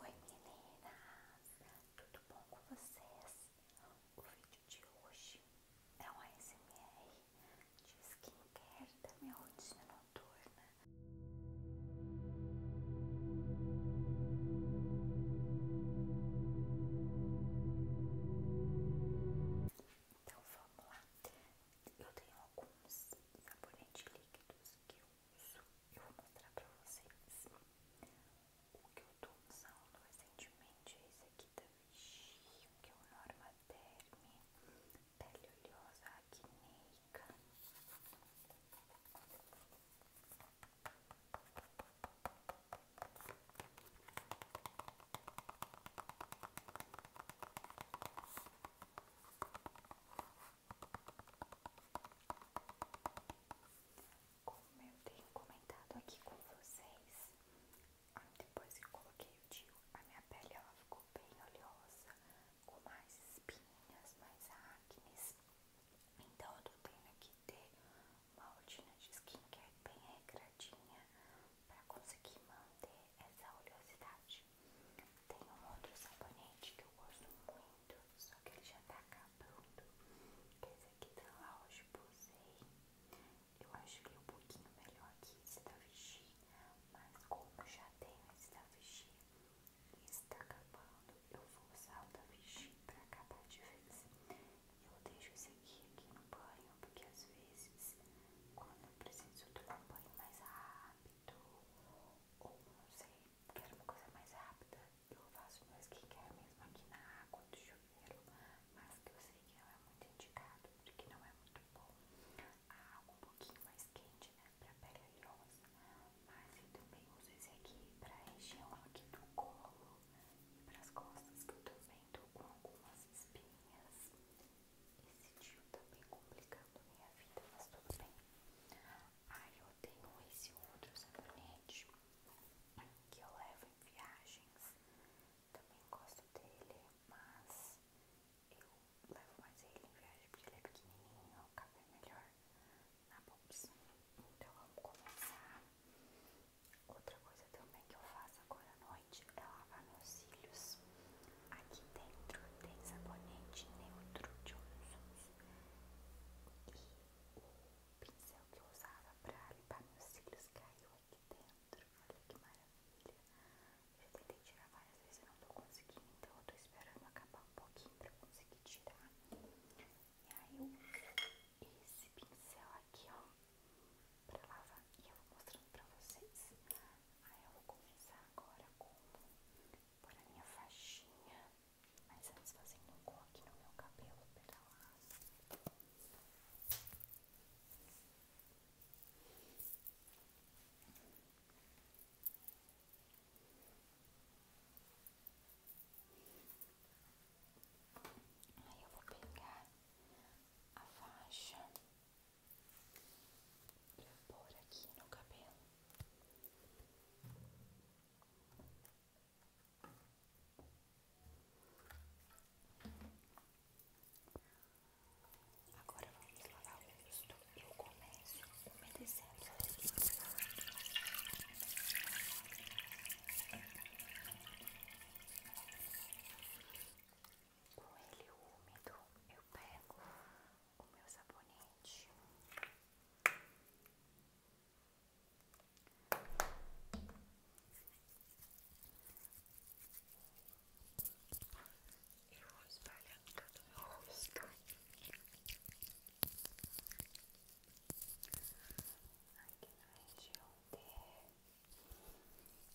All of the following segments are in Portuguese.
Oi meninas, tudo bom com vocês? O vídeo de hoje é um ASMR de skincare da minha rotina noturna. Então vamos lá, eu tenho alguns sabonetes líquidos que eu eu vou mostrar para vocês. O que eu tô usando recentemente é esse aqui da Vichy, que é o Norma Derme, pele oleosa acneica. Como eu tenho comentado aqui com vocês, ah, depois que coloquei o DIU, a minha pele ela ficou bem oleosa, com mais espinhas, mais acnes. Então eu tô tendo que ter uma rotina de skincare bem regradinha para conseguir manter essa oleosidade. Tem um outro sabonete que eu gosto muito, só que ele já tá acabando. Esse aqui da tá Laos Posey. Eu acho que é um pouquinho melhor que esse da Vichy, mas como já tenho esse da Vichy e esse tá acabando, eu vou usar o da Vichy pra acabar de vez. Eu deixo esse aqui, aqui no banho, porque às vezes, quando eu preciso tomar um banho mais rápido, muito, ou não sei, quero uma coisa mais rápida, eu faço mais meu skincare mesmo aqui na água do chuveiro, mas que eu sei que não é muito indicado, porque não é muito bom. A água um pouquinho mais quente, né, pra pele oleosa, mas eu também uso esse aqui pra região aqui do colo e pras costas, que eu também tô com algumas espinhas. Esse tio tá bem complicando minha vida, mas tudo bem. Aí eu tenho esse outro sabonete que eu levo em viagens. Também gosto dele, mas eu levo mais ele em viagem porque ele é pequenininho, cabe é melhor na bolsa. Então vamos começar. Outra coisa também que eu faço agora à noite é lavar meus cílios. Aqui dentro tem sabonete neutro de olhos e o pincel que eu usava para limpar meus cílios caiu aqui dentro. Olha que maravilha! Eu tentei tirar várias vezes e não tô conseguindo, então eu tô esperando acabar um pouquinho para conseguir tirar. E aí eu uso esse pincel aqui, ó, para lavar. E eu vou mostrando para vocês. Ah, eu vou começar agora com por a minha faixinha, mas antes fazendo um coque no meu cabelo vou pegar a faixa pra aqui no cabelo. Agora vamos lavar o rosto. Eu começo umedecendo. Com ele úmido, eu pego o meu sabonete. Eu vou espalhar em todo o meu rosto. Aqui na região D.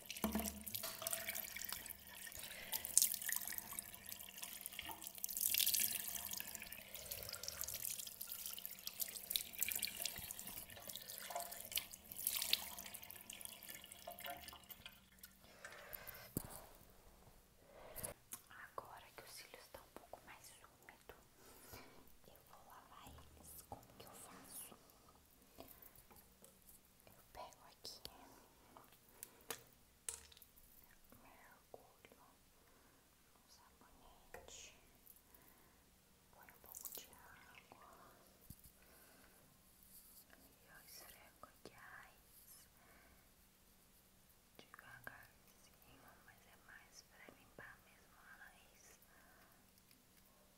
Agora que os cílios estão um pouco mais úmidos, eu vou lavar eles. Como que eu faço? eu pego aqui, mergulho um sabonete, põe um pouco de água e eu esfrego aqui devagarzinho, mas é mais para limpar mesmo a raiz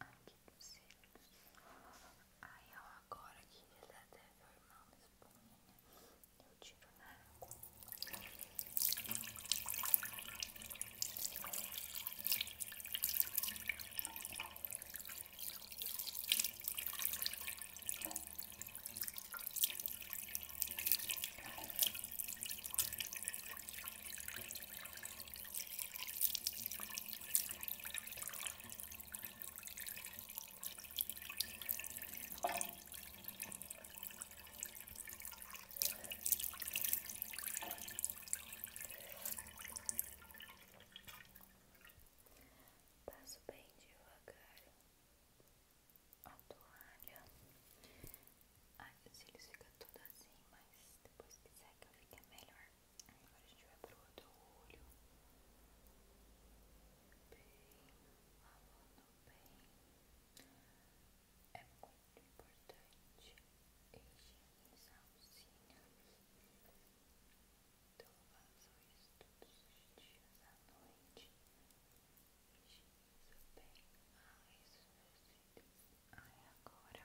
aqui nos é cílios. Aí ó, agora que ele até tá formar uma espuminha, eu tiro na Passo bem devagar a toalha. Ai, os cílios ficam todos assim, mas depois que seca fica melhor. Agora a gente vai pro outro olho. Bem, lavando bem. É muito importante higienizar os cílios. Então faço isso todos os dias à noite. Higienizo bem mais os meus cílios. Aí agora.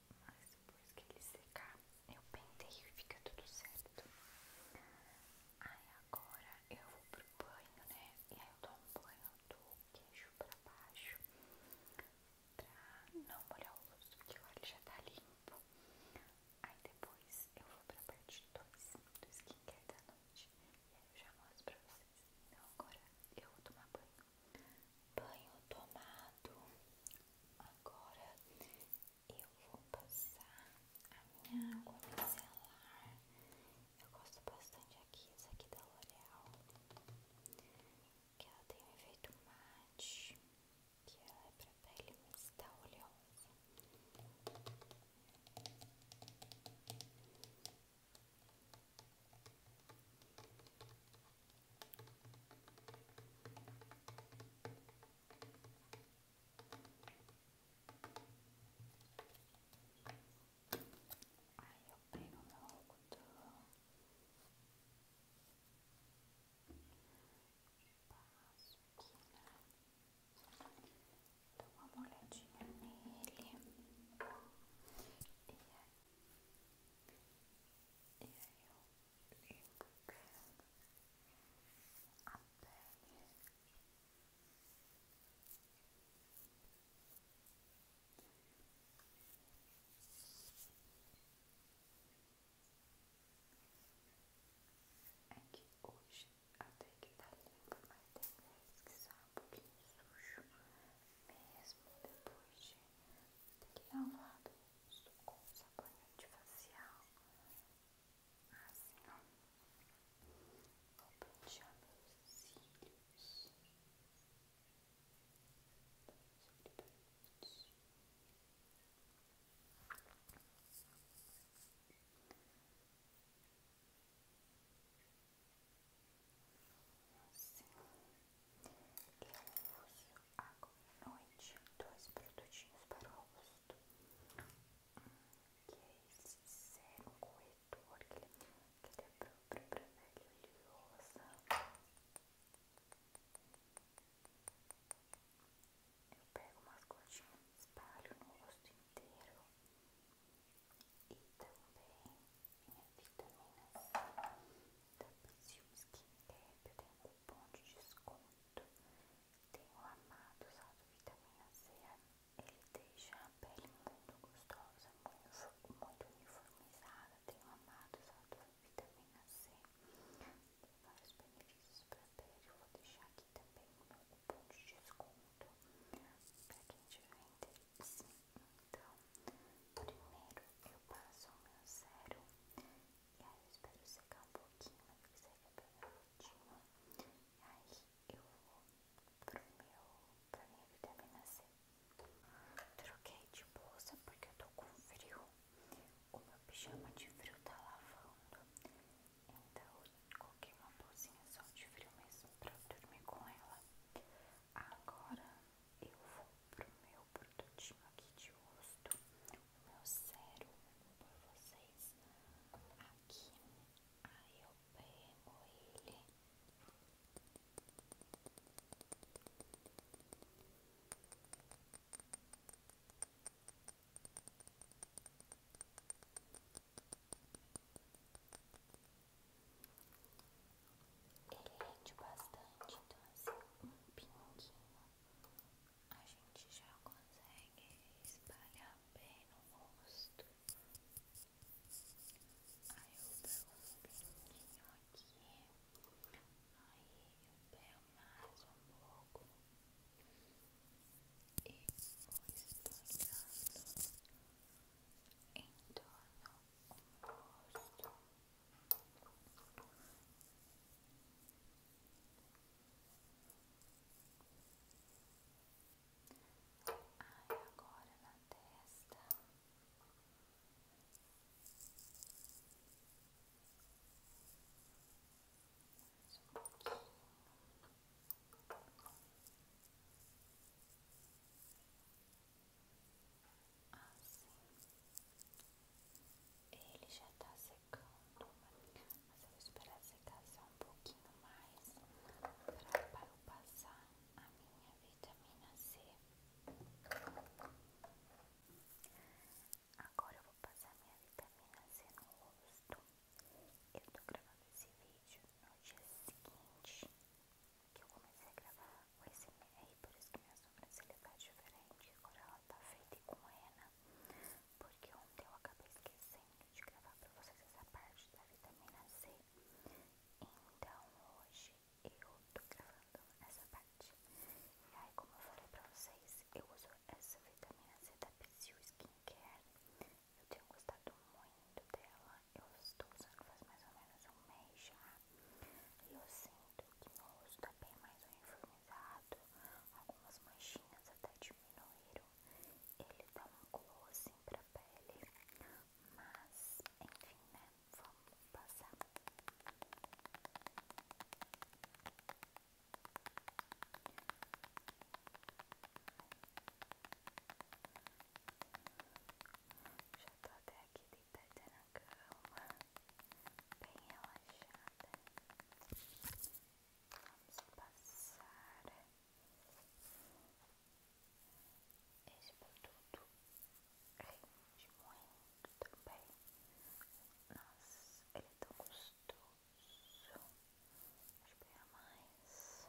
mas depois que ele secar, eu penteio e fica tudo certo. Aí agora eu vou pro banho, né? E aí eu tomo um banho do queixo pra baixo pra não molhar o rosto, porque o ele já tá limpo. Aí depois eu vou pra parte 2 do skincare da noite e aí eu já mostro pra vocês. Então agora eu vou tomar banho. Banho tomado. Agora eu vou passar a minha água micelar. Eu gosto bastante aqui, essa aqui da L'Oreal. Que ela tem um efeito mate. Que ela é pra pele mista oleosa. Aí eu pego meu algodão e passo aqui, né? Dou uma molhadinha nele. E aí, e aí eu limpo bem a pele. É que hoje até que tá limpo, mas tem vezes que sai um pouquinho sujo, mesmo depois de tem que lavar o sabonete facial. Assim, ó. Vou pentear meus cílios. Assim. Eu uso agora à noite dois produtinhos para o rosto. que é esse sérum corretor, que ele, que ele é próprio para pele oleosa. Eu pego umas gotinhas, espalho no rosto inteiro. E também minha vitamina C da Brasil Skincare, eu tenho um cupom de desconto, tenho amado usar vitamina C, ele deixa a pele muito gostosa, muito, uniformizada, tenho amado usar vitamina C, tem vários benefícios para a pele, vou deixar aqui também o meu cupom de desconto, para quem tiver interesse. Então, primeiro eu passo o meu sérum e aí eu espero secar um pouquinho, mas que seja é bem rapidinho. E aí eu vou pro meu, pra minha vitamina C. Troquei de bolsa porque eu tô com frio. O meu pijama de frio tá lavando. Então, coloquei uma bolsinha só de frio mesmo para eu dormir com ela. Agora eu vou pro meu produtinho aqui de rosto, meu sérum por vocês aqui. Aí eu pego ele. Aí ele bastante, então assim, um pinguinho a gente já consegue espalhar bem no rosto. Aí eu pego um pinguinho aqui, aí eu pego mais um pouco e vou espalhando em torno Ai, agora na testa. Mais um pouquinho. Ai, Assim, ele já está secando, mas eu vou esperar secar só um pouquinho mais para eu passar a minha vitamina C. Agora eu vou passar minha vitamina C no rosto. Eu estou gravando esse vídeo no dia seguinte que eu comecei a gravar o e por isso que minha sobrancelha tá diferente, agora ela tá feita e com henna, porque ontem eu acabei esquecendo de gravar pra vocês essa parte da vitamina C, então hoje eu tô gravando essa parte. E aí, como eu falei pra vocês, eu uso essa vitamina C da Psyu Skincare, eu tenho gostado muito dela. Eu estou usando faz mais ou menos um mês já. E eu sinto que meu rosto está bem mais uniformizado. Algumas manchinhas até diminuíram. Ele dá um glow assim para a pele. Mas, enfim, né? Vamos passar. Já tô até aqui deitada na cama, bem relaxada. Vamos passar esse produto rende muito bem Nossa, ele é tão gostoso. Acho que é mais.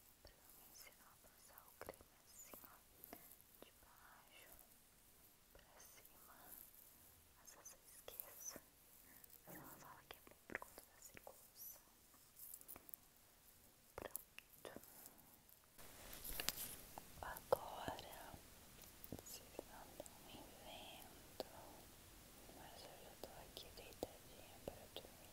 pra me ensinar a passar o creme assim, ó, de baixo pra cima. Às vezes eu não mas ela fala que é bom por conta da circulação. Pronto. Agora, vocês não não invento, mas eu já tô aqui deitadinha para dormir.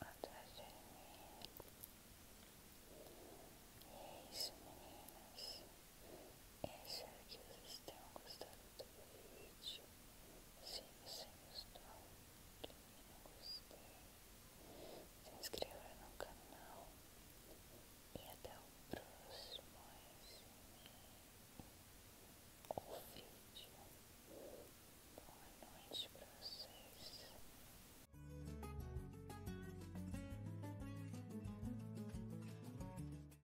atrás de mim. E isso, meninas. Espero é que vocês tenham gostado vídeo. Se inscreva no canal e até o próximo ou vídeo. Boa noite para vocês.